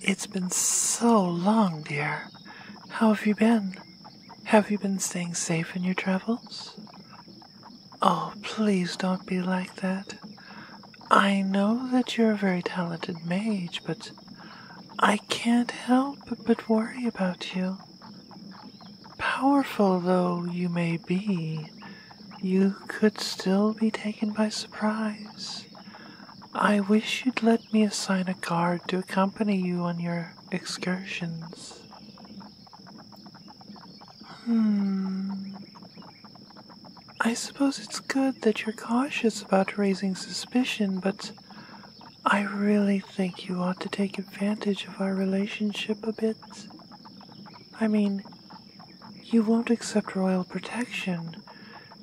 It's been so long, dear. How have you been? Have you been staying safe in your travels? Oh, please don't be like that. I know that you're a very talented mage, but I can't help but worry about you. Powerful though you may be, you could still be taken by surprise. I wish you'd let me assign a guard to accompany you on your excursions. Hmm. I suppose it's good that you're cautious about raising suspicion, but I really think you ought to take advantage of our relationship a bit. I mean, you won't accept royal protection.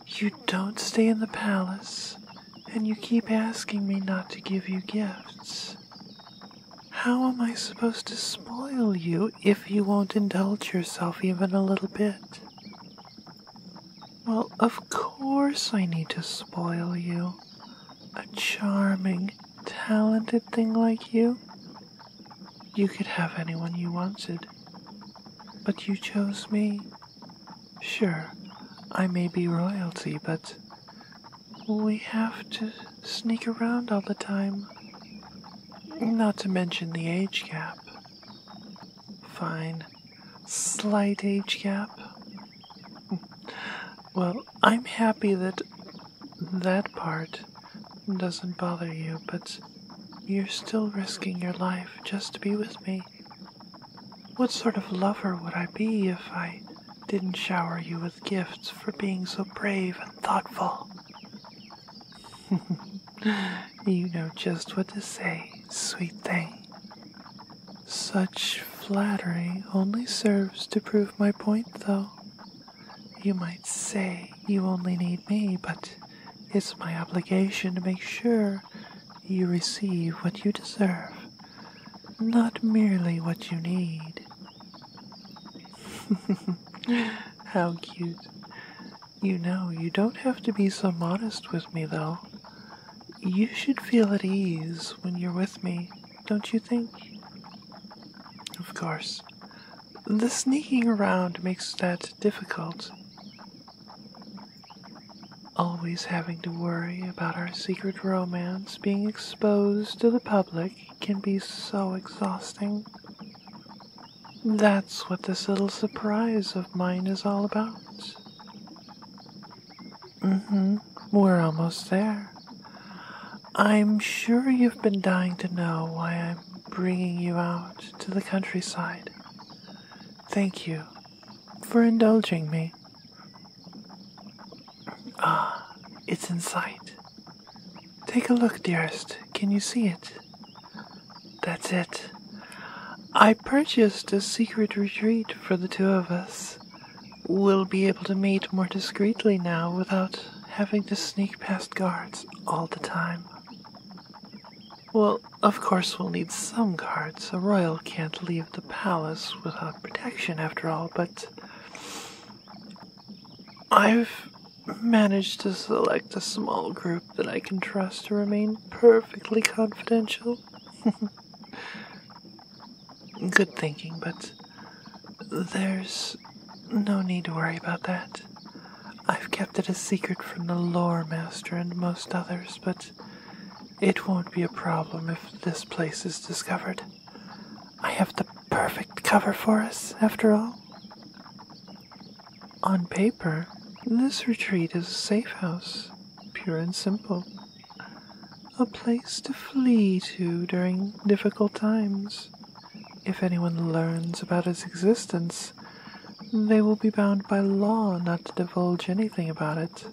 You don't stay in the palace, and you keep asking me not to give you gifts. How am I supposed to spoil you if you won't indulge yourself even a little bit? Well, of course I need to spoil you a charming, talented thing like you, you could have anyone you wanted. But you chose me. Sure, I may be royalty, but we have to sneak around all the time. Not to mention the age gap. Fine slight age gap. Well, I'm happy that that part doesn't bother you, but you're still risking your life just to be with me. What sort of lover would I be if I didn't shower you with gifts for being so brave and thoughtful? you know just what to say, sweet thing. Such flattery only serves to prove my point, though. You might say you only need me, but it's my obligation to make sure you receive what you deserve, not merely what you need. How cute. You know, you don't have to be so modest with me, though. You should feel at ease when you're with me, don't you think? Of course. The sneaking around makes that difficult. Always having to worry about our secret romance being exposed to the public can be so exhausting. That's what this little surprise of mine is all about. Mm-hmm. We're almost there. I'm sure you've been dying to know why I'm bringing you out to the countryside. Thank you for indulging me. Ah, it's in sight. Take a look, dearest. Can you see it? That's it. I purchased a secret retreat for the two of us. We'll be able to meet more discreetly now without having to sneak past guards all the time. Well, of course, we'll need some guards. A royal can't leave the palace without protection, after all, but. I've managed to select a small group that I can trust to remain perfectly confidential. Good thinking, but there's no need to worry about that. I've kept it a secret from the lore master and most others, but it won't be a problem if this place is discovered. I have the perfect cover for us, after all. On paper, this retreat is a safe house, pure and simple, a place to flee to during difficult times. If anyone learns about its existence, they will be bound by law not to divulge anything about it.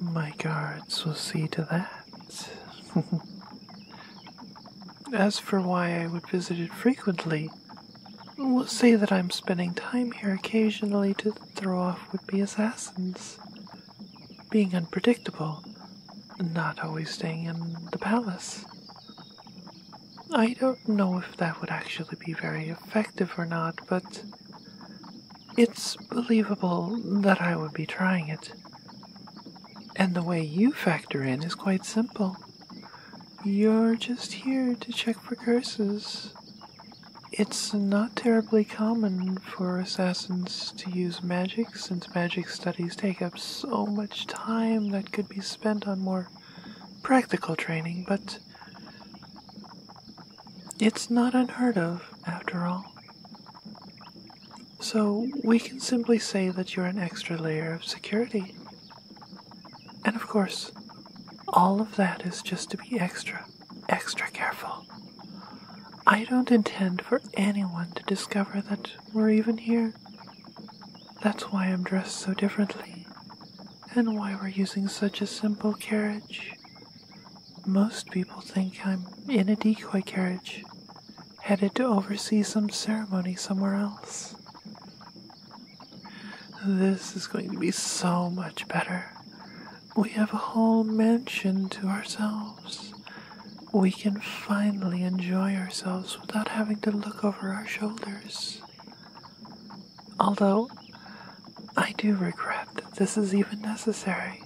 My guards will see to that. As for why I would visit it frequently, We'll say that I'm spending time here occasionally to throw off would be assassins. Being unpredictable, not always staying in the palace. I don't know if that would actually be very effective or not, but it's believable that I would be trying it. And the way you factor in is quite simple. You're just here to check for curses. It's not terribly common for assassins to use magic since magic studies take up so much time that could be spent on more practical training, but it's not unheard of after all. So we can simply say that you're an extra layer of security and of course, all of that is just to be extra, extra careful. I don't intend for anyone to discover that we're even here. That's why I'm dressed so differently, and why we're using such a simple carriage. Most people think I'm in a decoy carriage, headed to oversee some ceremony somewhere else. This is going to be so much better. We have a whole mansion to ourselves. We can finally enjoy ourselves without having to look over our shoulders. Although, I do regret that this is even necessary.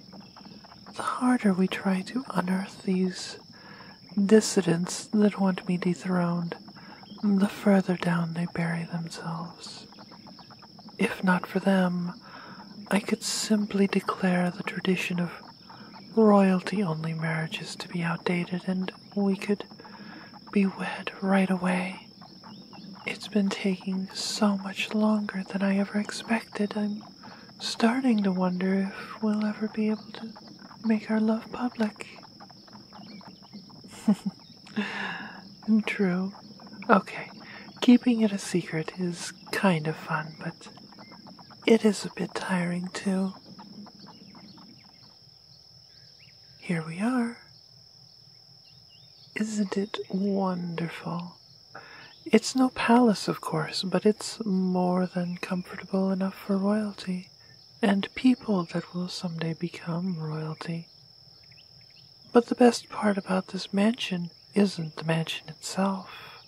The harder we try to unearth these dissidents that want me dethroned, the further down they bury themselves. If not for them, I could simply declare the tradition of royalty only marriages to be outdated and we could be wed right away. It's been taking so much longer than I ever expected. I'm starting to wonder if we'll ever be able to make our love public. and True. Okay, keeping it a secret is kind of fun, but it is a bit tiring too. Here we are. Isn't it wonderful? It's no palace, of course, but it's more than comfortable enough for royalty and people that will someday become royalty. But the best part about this mansion isn't the mansion itself.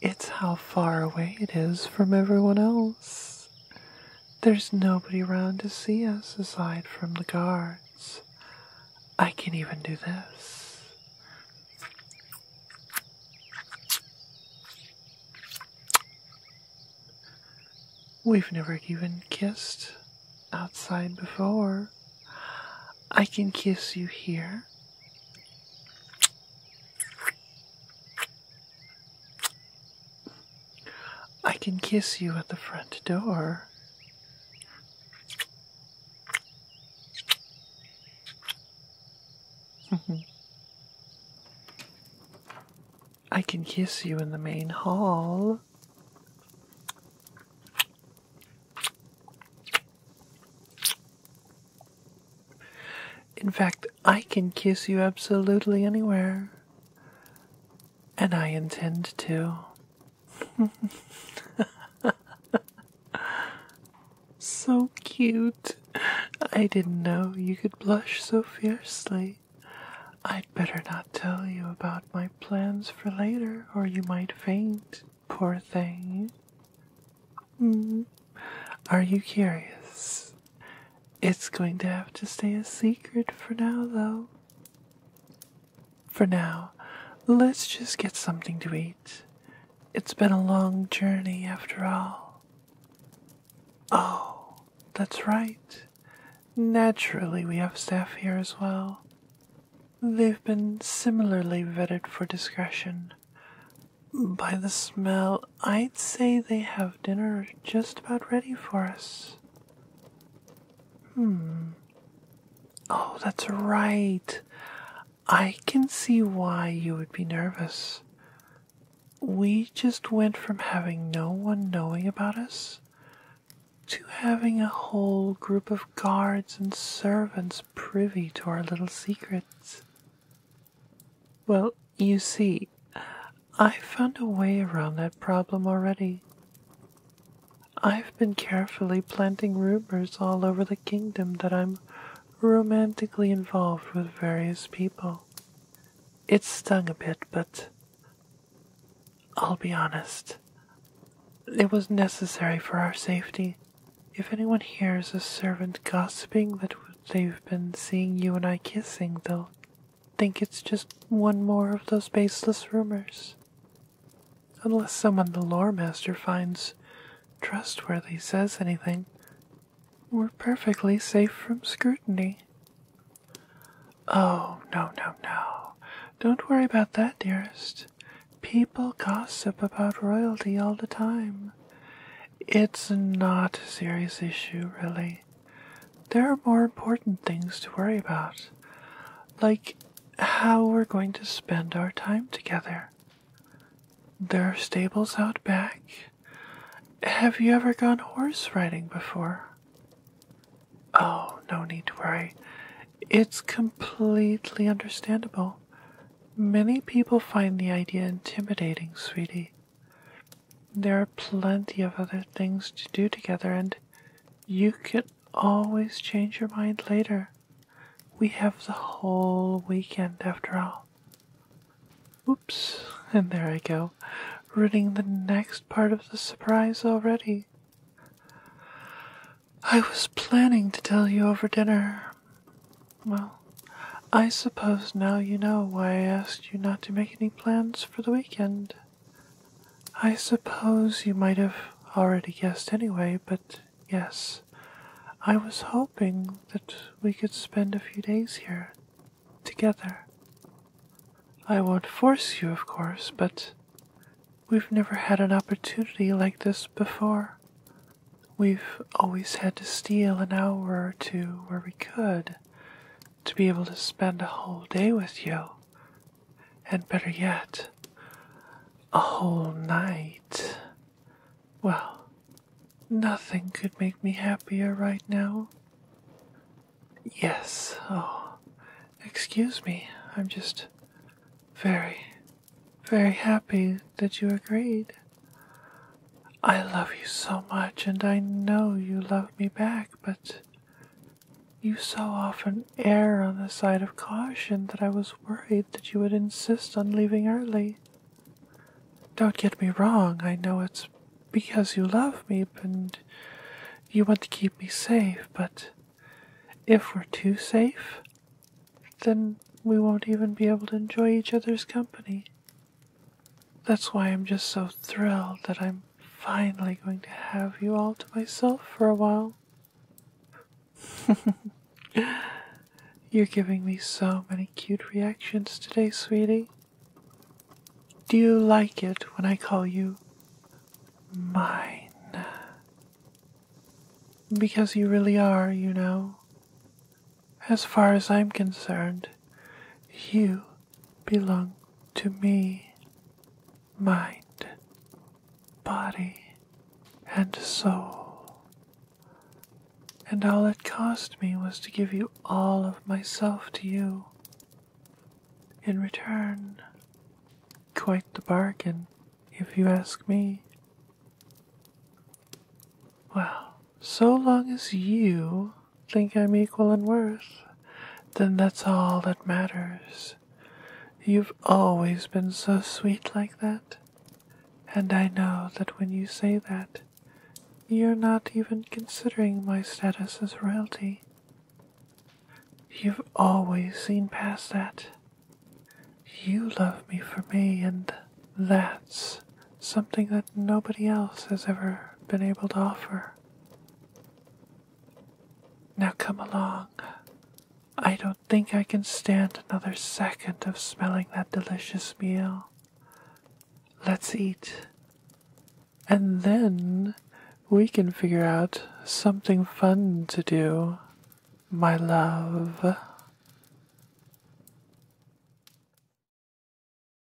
It's how far away it is from everyone else. There's nobody around to see us aside from the guards. I can even do this. We've never even kissed outside before. I can kiss you here. I can kiss you at the front door. Mm-hmm. I can kiss you in the main hall. In fact, I can kiss you absolutely anywhere. And I intend to. So cute. I didn't know you could blush so fiercely. I'd better not tell you about my plans for later, or you might faint, poor thing. Mm. Are you curious? It's going to have to stay a secret for now, though. For now, let's just get something to eat. It's been a long journey after all. Oh, that's right. Naturally, we have staff here as well. They've been similarly vetted for discretion. By the smell, I'd say they have dinner just about ready for us. Hmm. Oh, that's right. I can see why you would be nervous. We just went from having no one knowing about us to having a whole group of guards and servants privy to our little secrets. Well, you see, I found a way around that problem already. I've been carefully planting rumors all over the kingdom that I'm romantically involved with various people. It stung a bit, but I'll be honest. It was necessary for our safety. If anyone hears a servant gossiping that they've been seeing you and I kissing, they'll think it's just one more of those baseless rumors. Unless someone the lore master finds trustworthy says anything, we're perfectly safe from scrutiny. Oh, no, no, no. Don't worry about that, dearest. People gossip about royalty all the time. It's not a serious issue, really. There are more important things to worry about, like how we're going to spend our time together. There are stables out back. Have you ever gone horse riding before? Oh, no need to worry. It's completely understandable. Many people find the idea intimidating, sweetie. There are plenty of other things to do together, and you can always change your mind later. We have the whole weekend after all. Oops, and there I go, ruining the next part of the surprise already. I was planning to tell you over dinner. Well, I suppose now you know why I asked you not to make any plans for the weekend. I suppose you might have already guessed anyway, but yes, I was hoping that we could spend a few days here together. I won't force you, of course, but we've never had an opportunity like this before. We've always had to steal an hour or two where we could to be able to spend a whole day with you and better yet, a whole night. Well, nothing could make me happier right now. Yes, oh, excuse me, I'm just very, very happy that you agreed. I love you so much, and I know you love me back, but you so often err on the side of caution that I was worried that you would insist on leaving early. Don't get me wrong, I know it's because you love me and you want to keep me safe, but if we're too safe, then we won't even be able to enjoy each other's company. That's why I'm just so thrilled that I'm finally going to have you all to myself for a while. You're giving me so many cute reactions today, sweetie. Do you like it when I call you mine? Because you really are, you know. As far as I'm concerned, you belong to me, mind, body, and soul. And all it cost me was to give you all of myself to you. In return, quite the bargain, if you ask me. Well, so long as you think I'm equal in worth, then that's all that matters. You've always been so sweet like that, and I know that when you say that, you're not even considering my status as royalty. You've always seen past that. You love me for me, and that's something that nobody else has ever been able to offer. Now come along. I don't think I can stand another second of smelling that delicious meal. Let's eat. And then we can figure out something fun to do, my love.